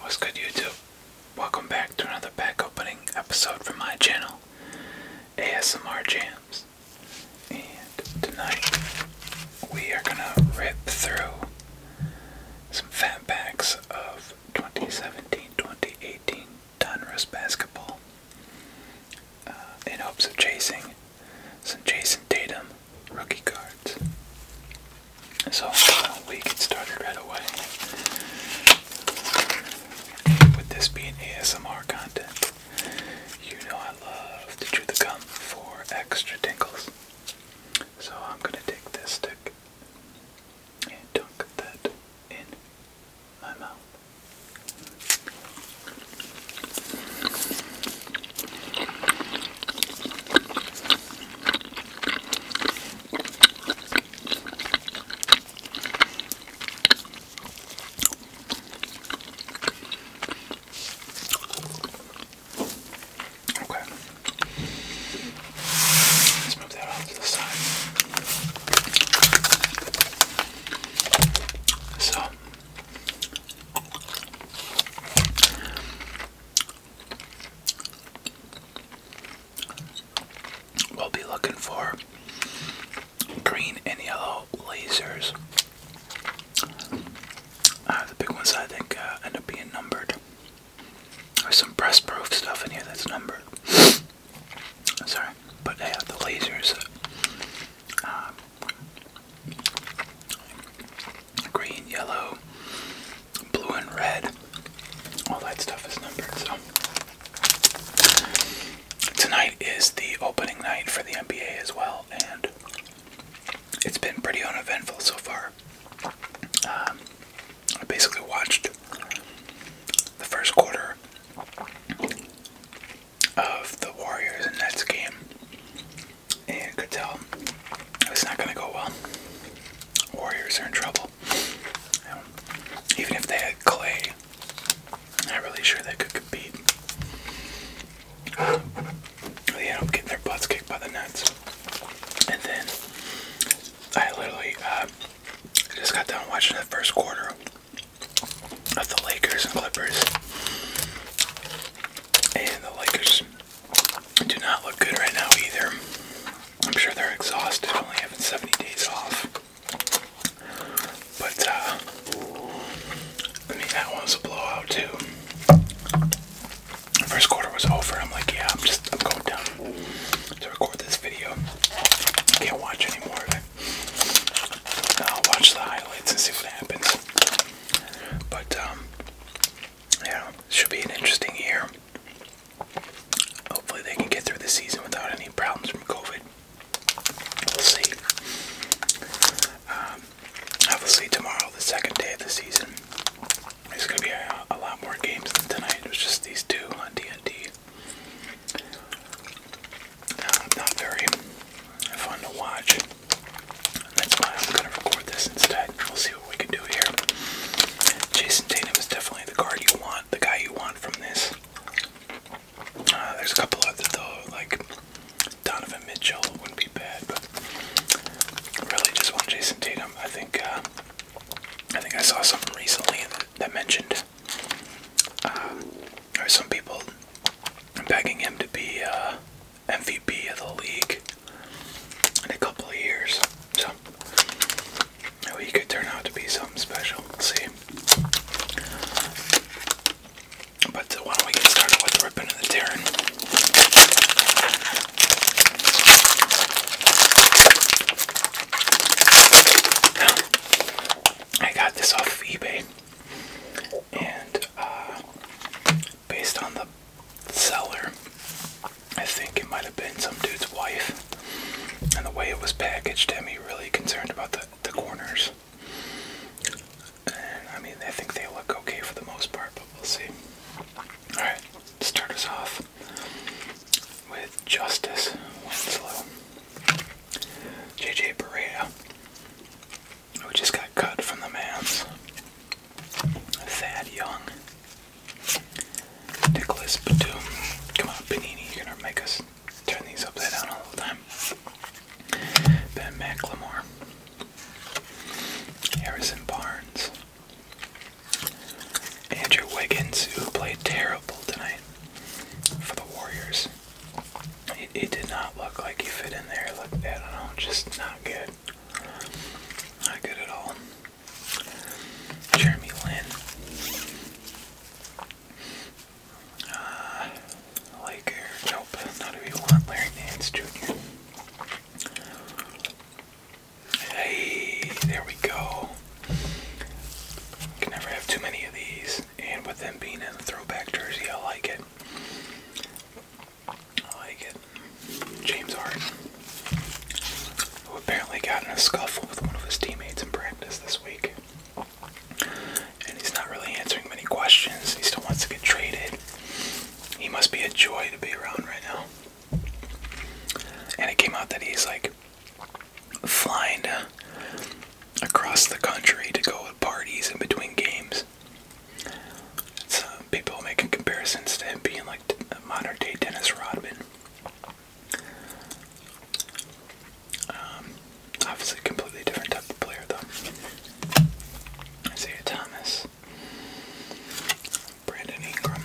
What's good YouTube? Welcome back to another pack opening episode from my channel, ASMR Jams. And tonight we are gonna rip through some fat packs of 2017-2018 Donruss basketball uh, in hopes of chasing some Jason Tatum rookie cards. So we get started right away. With this being ASMR content, you know I love to chew the gum for extra tingles. So I'm gonna take this stick and dunk that in my mouth. Okay. Let's move that off to the side. So We'll be looking for green and yellow lasers. Uh, the big ones I think uh, end up being numbered. There's some press proof stuff in here that's numbered. Sorry, but yeah, the lasers. Uh, green, yellow, blue, and red. All that stuff is numbered. So tonight is the opening night for the NBA as well, and it's been pretty uneventful so far. Um, I basically watched the first quarter of the Warriors and Nets game, and could tell it's not going to go well. Warriors are in trouble. even if they had Clay, not really sure they could compete. they end up getting their butts kicked by the Nets. And then I literally uh, just got done watching the first quarter of the Lakers and Clippers. And the Lakers do not look good right now either. I'm sure they're exhausted, only having 70 days off. But, uh, I mean, that one was a blowout too. first quarter was over. I'm like, yeah, I'm just, I'm going down to record this video. I Can't watch anymore of it. I'll watch the highlights and see what happens. But, um, yeah, should be an interesting year. Hopefully, they can get through the season without any problems from COVID. We'll see. I will see tomorrow, the second day of the season, It's going to be a, lot more games than tonight. It was just these two on DND. and d uh, not very fun to watch. That's why I'm going to record this instead. We'll see we can do here. Jason Tatum is definitely the guard you want, the guy you want from this. Uh, there's a couple other though, like Donovan Mitchell wouldn't be bad, but really just want Jason Tatum. I think uh, I think I saw something recently that, mentioned uh, or some people begging him to be uh, MVP of the league in a couple of years. So he could turn out to be something special. see. But uh, why don't we get started with ripping and tearing? I got this off eBay, and uh, based on the seller. I think it might have been some dude's wife. And the way it was packaged had me really concerned about the, the corners. I mean, I think they look okay for the most part, but we'll see. Alright, start us off with Justice Winslow. JJ Barea, who just got cut from the man's. Thad Young, Nicholas Batum. Come on, Benini, you're gonna make us turn these upside down all the time. Ben McLemore, Harrison Barnes, Andrew Wiggins, who played terrible tonight for the Warriors. It, did not look like he fit in there. Looked, I don't know, just not good. Not good at all. Jeremy Lin. Uh, nope, not who you want, Larry Nance Jr. Hey, there we go. Can never have too many of these, and with them being in a throwback jersey, I like it. I like it. James Harden, who apparently got in a scuffle with one of his teammates in practice this week. And he's not really answering many questions. He still wants to get traded. He must be a joy to be around right now. And it came out that he's like flying across the country to go to parties in between games. So uh, people making comparisons to him being like modern day Dennis Rodman. Um, obviously, completely different type of player, though. Isaiah Thomas, Brandon Ingram,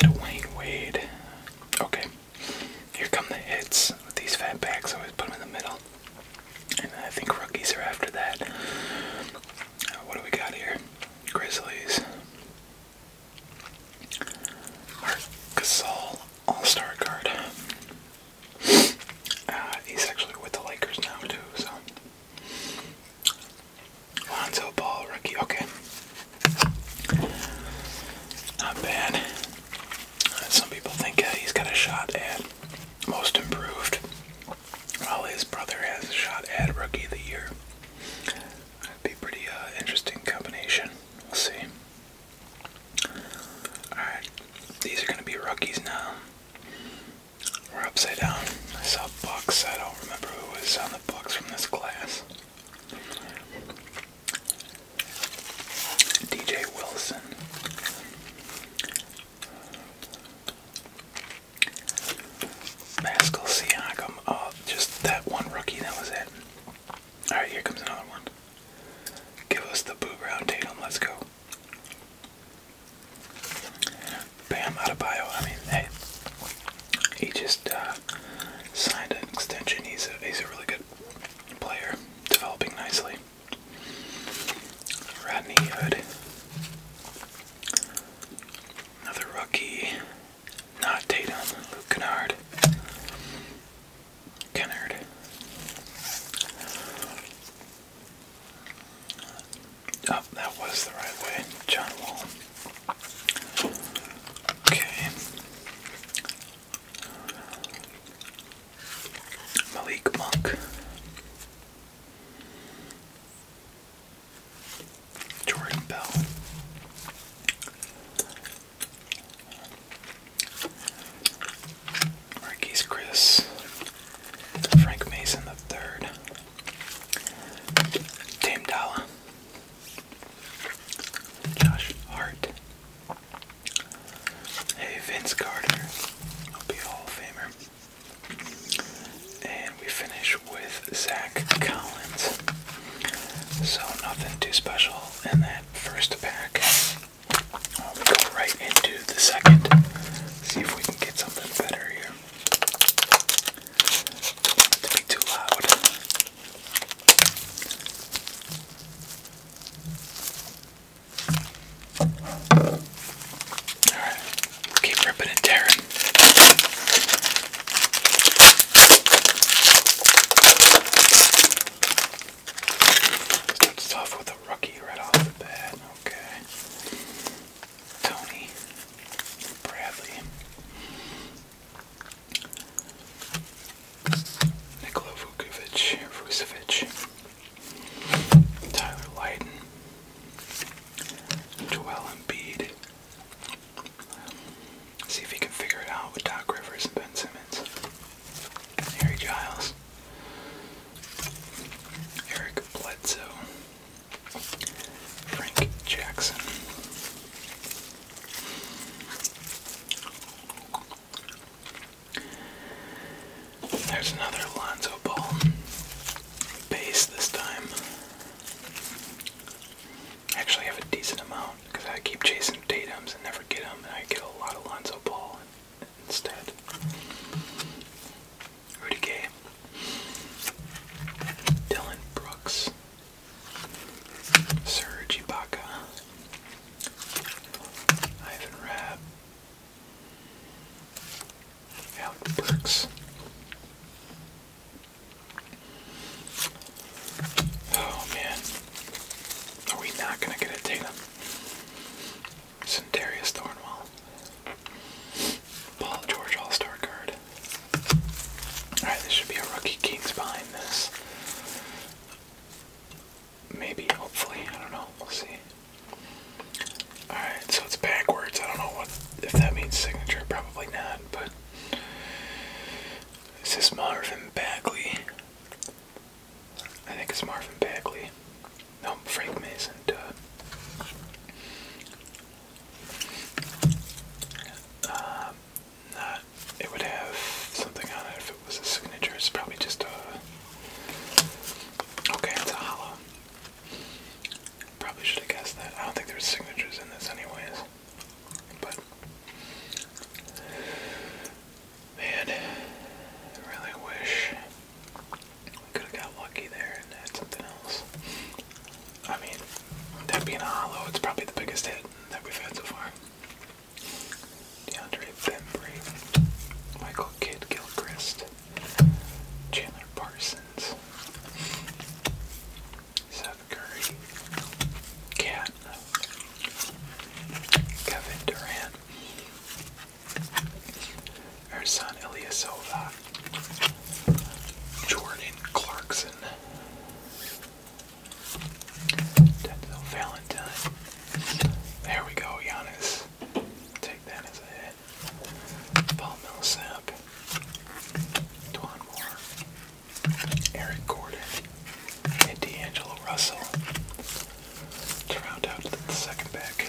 Dwayne Wade. Okay, here come the hits with these fat backs. Always put them in the middle, and I think rookies are after that. Uh, what do we got here? Grizzlies. Mark Gasol All-Star card. Uh, he's actually with the Lakers now too, so. Lonzo Ball rookie, okay. Not bad. Uh, some people think he's got a shot at most improved while his brother has shot at Rookie of the Year. That'd be pretty uh, interesting combination. We'll see. Alright, these are going to be rookies now. We're upside down. I saw Bucks. I don't remember who was on the Bucks from this class. DJ Wilson. Pascal Siakam. Oh, just that one rookie. That was it. All right, here comes another one. Give us the boo round, Tatum. Let's go. Bam out of bio. I mean, hey, he just uh, signed an extension. He's a he's a really good player, developing nicely. Rodney Hood. Another rookie. Not Tatum. Luke Kennard. Kennard. Oh, that was the right way. John Wall. Okay. Malik Monk. Jordan Bell. Marquise Chris. Frank Mason the third. Dame Dahl, Josh Hart. Hey Vince Carter. I'll be a Hall of Famer. And we finish with Zach Collins. So nothing too special in that first pack. I'll go right into the second. See if we can get something better here. Don't want it to be too loud. Alright. Keep ripping and tearing. Starts off with a rookie right off the bat. Okay. Tony Bradley. Nikola Vukovic, Vucevic, Tyler Lydon, Joel Embiid, See if he can figure it out with Doc Rivers and Ben Simmons. Harry Giles. Eric Bledsoe. Frank Jackson. There's another Alonzo ball. Base this time. I actually have a decent amount because I keep chasing Datums and never get them, and I get a lot of Lonzo Ball instead. Rudy Gay, Dylan Brooks, Serge Ibaka, Ivan Rapp, how it works. Oh man, are we not gonna get a Tatum? Centarius Thornwell. Paul George All-Star card. Alright, there should be a rookie Kings behind this. Maybe, hopefully, I don't know, we'll see. Alright, so it's backwards. I don't know what if that means signature, probably not, but this is Marvin Bagley. I think it's Marvin Bagley. No, Frank Mason, duh. Uh, not, it would have something on it if it was a signature. It's probably just a. Okay, it's a hollow. Probably should have guessed that. I don't think there's signatures in this anyways. But man, I really wish we could have got lucky there and had something else. I mean, that being a hollow, it's probably the biggest hit that we've had so far. DeAndre Bembry, Michael Kidd Gilchrist, Chandler Parsons. Evans, Curry, Cat, Kevin Durant, Ersan Ilyasova, Jordan Clarkson, Denzel Valentine. There we go, Giannis. Take that as a hit. Paul Millsap. Dwan Moore, Eric Gordon, and D'Angelo Russell to round out the second pack.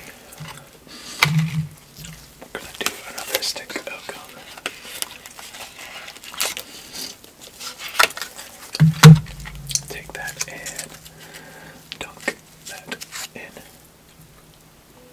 We're gonna do another stick of gum. Take that and dunk that in.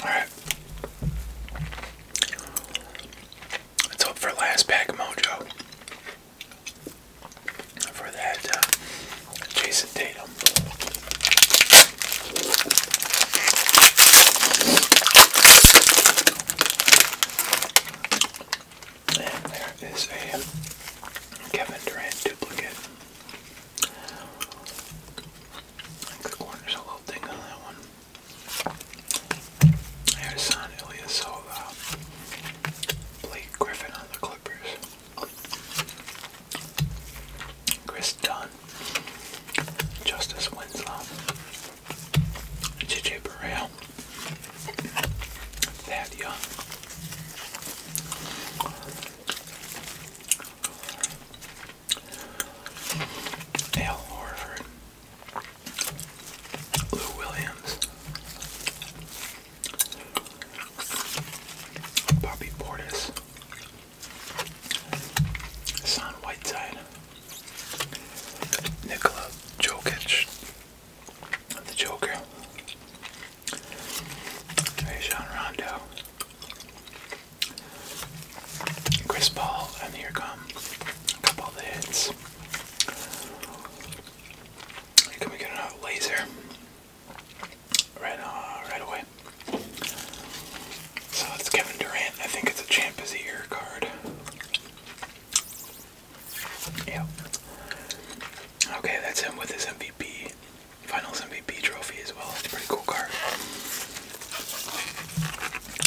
Alright. Let's hope for last pack mojo. For that uh, Jason Tatum. And there is a Kevin Durant duplicate. the corner's a little thing on that one. There's Son Ilyasova. Blake Griffin on the Clippers. Chris Dunn. Justice Winslow. JJ Burrell that young. Dale Horford, Lou Williams, Bobby Portis, Son Whiteside, Nikola Jokic, the Joker. Rajon Rondo. Chris Paul, and here come a couple of the hits. can we get another laser? Right, uh, right away. So it's Kevin Durant. I think it's a Champ is the Year card. Yeah. Okay, that's him with his MVP, Finals MVP trophy as well. It's a pretty cool card.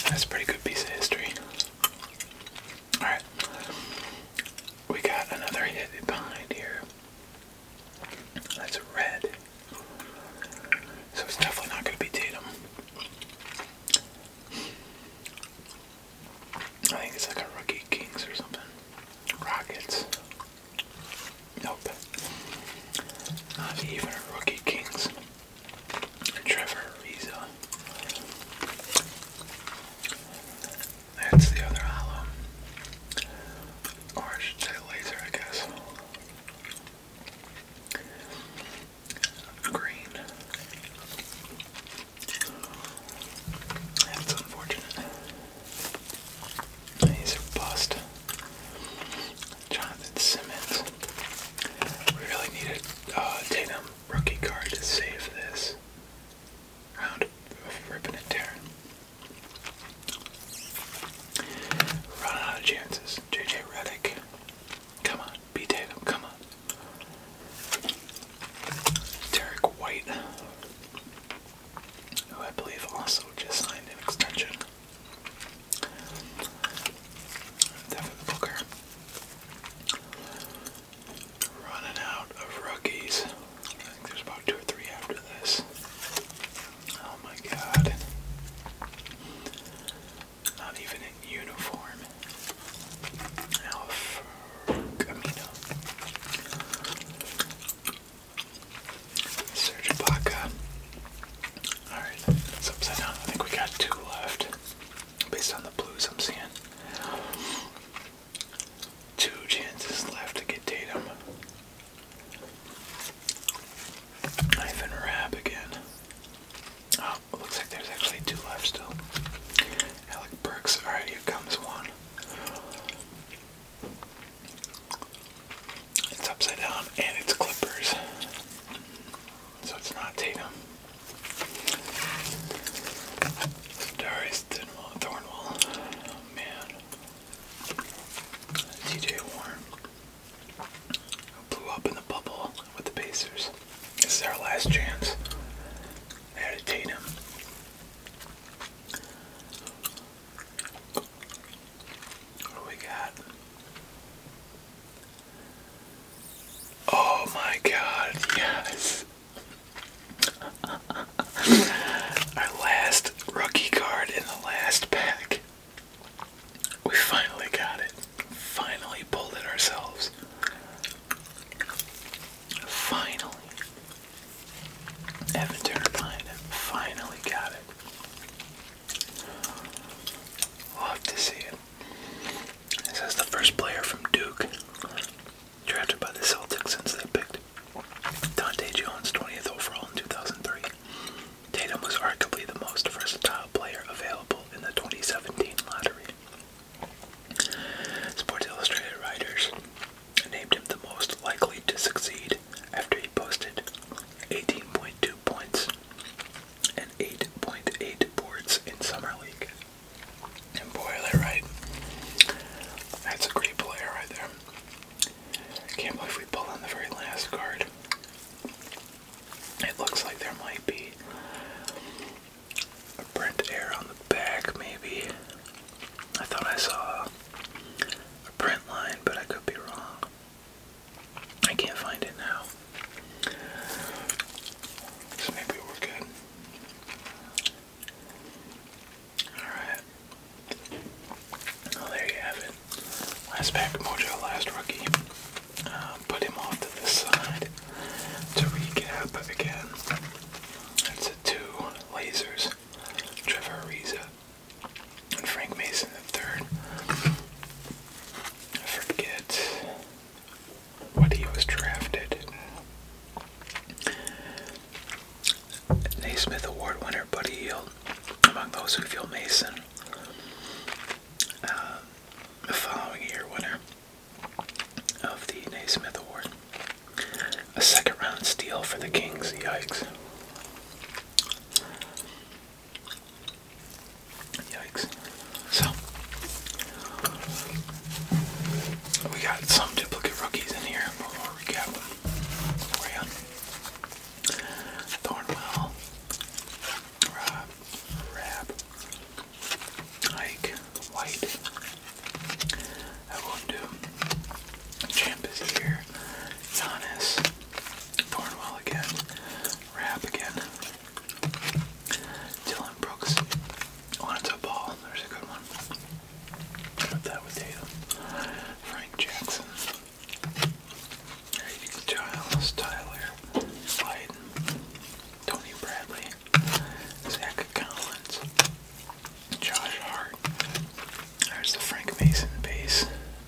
That's a pretty good piece of history. Alright. We got another hit behind here. That's red. So it's definitely not going to be Tatum. I think it's like a Rookie Kings or something. Rockets. Nope. Not even a Rookie Kings. Trevor Ariza. That's the other hollow. Or I should say laser, I guess. Green. That's unfortunate. He's a bust. Jonathan Simmons. We really needed uh, Tatum rookie card to save this round of ripping and tearing. Run out of chances. JJ Redick. Come on. Be Tatum. Come on. Derek White, who I believe also just signed an extension. Devin Booker. Running out of rookies. I think there's about two or three after this. Oh my god. Not even in uniform. Al Camino. Serge Alright, that's upside down. I think we got two left. Based on the blues I'm seeing. Two chances left to get Tatum. Ivan Rab again. Oh, it looks like there's actually two left still. Alec Burks. Alright, here comes one. It's upside down and it's Clippers. So it's not Tatum. Darius Thornwall. Oh man. TJ Warren. Blew up in the bubble with the Pacers. This is our last chance meditating. What do we got? Oh my god, yes! Our last rookie card in the last pack. We finally got it. Finally pulled it ourselves. Finally. Evan Turner finally got it. Love to see it. This is the first player from Duke. Drafted by the Celtics since they picked Dante Jones 20th overall in 2003. Tatum was arguably the most versatile player available in the 2017 lottery. Sports Illustrated writers named him the most likely to succeed after he posted 18.2 points and 8.8 boards in Summer League. And boy, are they right. That's a great player right there. Can't believe we pulled on the very last card. It looks like there might be a print air on the back, maybe. I thought I saw a print line, but I could be wrong. I can't find it now. So maybe we're good. Alright. Well, oh, there you have it. Last pack mojo, last rookie. Uh, put him off to the side to recap again. That's the two lasers. Trevor Ariza and Frank Mason the third. I forget what he was drafted. Naismith Award winner Buddy Hield, among those who feel Mason. Uh, the following year winner of the Naismith Award. A second round steal for the Kings, yikes. Yikes. So, we got some duplicate rookies in here, but we recap Thornwell, Rob, Rab, Ike, White, I will do Champ is here, Giannis, Thornwell again, Rap again, Dylan Brooks, Lonzo Ball, there's a good one. Put that with Tatum, Frank Jackson, Giles, Tyler, Biden, Tony Bradley, Zach Collins, Josh Hart. There's the Frank Mason base,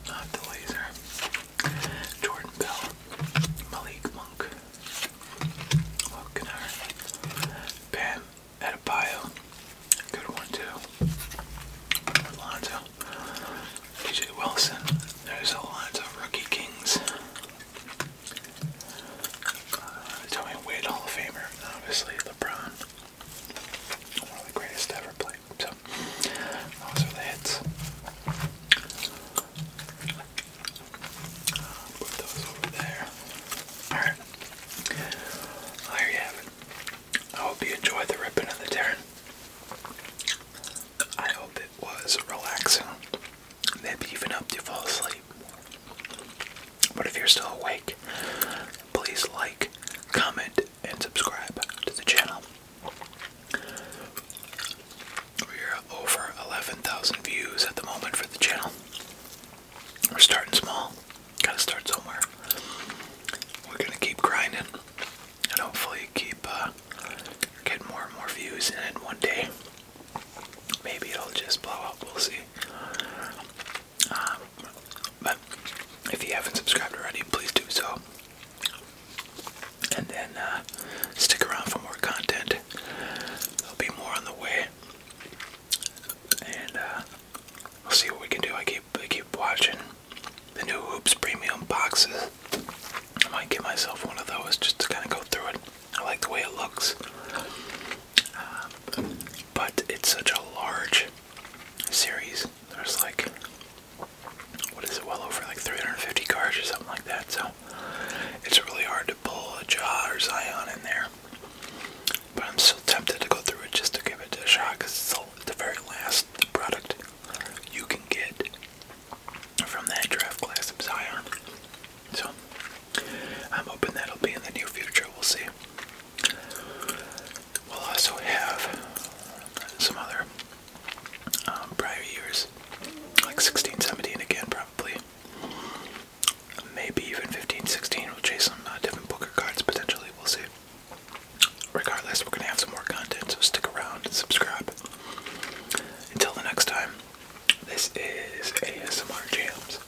not the laser. Jordan Bell, Malik Monk, Lokinar, Pam Adebayo, good one too. Alonzo, DJ Wilson. There's a lot of Rookie Kings. Uh, tell Hall of Famer, obviously LeBron. One of the greatest ever played. So those are the hits. Uh, put those over there. Alright. there you have it. I hope you enjoyed the ripping and the tearing. I hope it was relaxing. Maybe even helped you fall asleep. But if you're still awake, please like, comment, and subscribe to the channel. We're over 11,000 views at the moment for the channel. We're starting small. Gotta start somewhere. We're gonna keep grinding and hopefully keep uh, getting more and more views. And then one day, maybe it'll just blow up. We'll see. Um, but if you haven't subscribed already, please do so. And then uh, stick around for more content. There'll be more on the way. And uh, we'll see what we can do. I keep I keep watching the new Hoops Premium boxes. I might get myself one of those just to kind of go through it. I like the way it looks. Um, but it's such a large series. There's like, what is it, well over like 350 cars or something like that. So it's really hard to pull a jaw or Zion in there. But I'm still tempted to go through it just to give it a shot because it's the very last product you can get from that draft class of Zion. So I'm hoping that'll be in the near future. We'll see. We'll also have some other um, prior years, like 16, 17 again, probably. Maybe even 15, 16. We'll chase some uh, different Booker cards potentially. We'll see. Regardless, we're going to have some more content, so stick around and subscribe. Until the next time, this is ASMR Jams.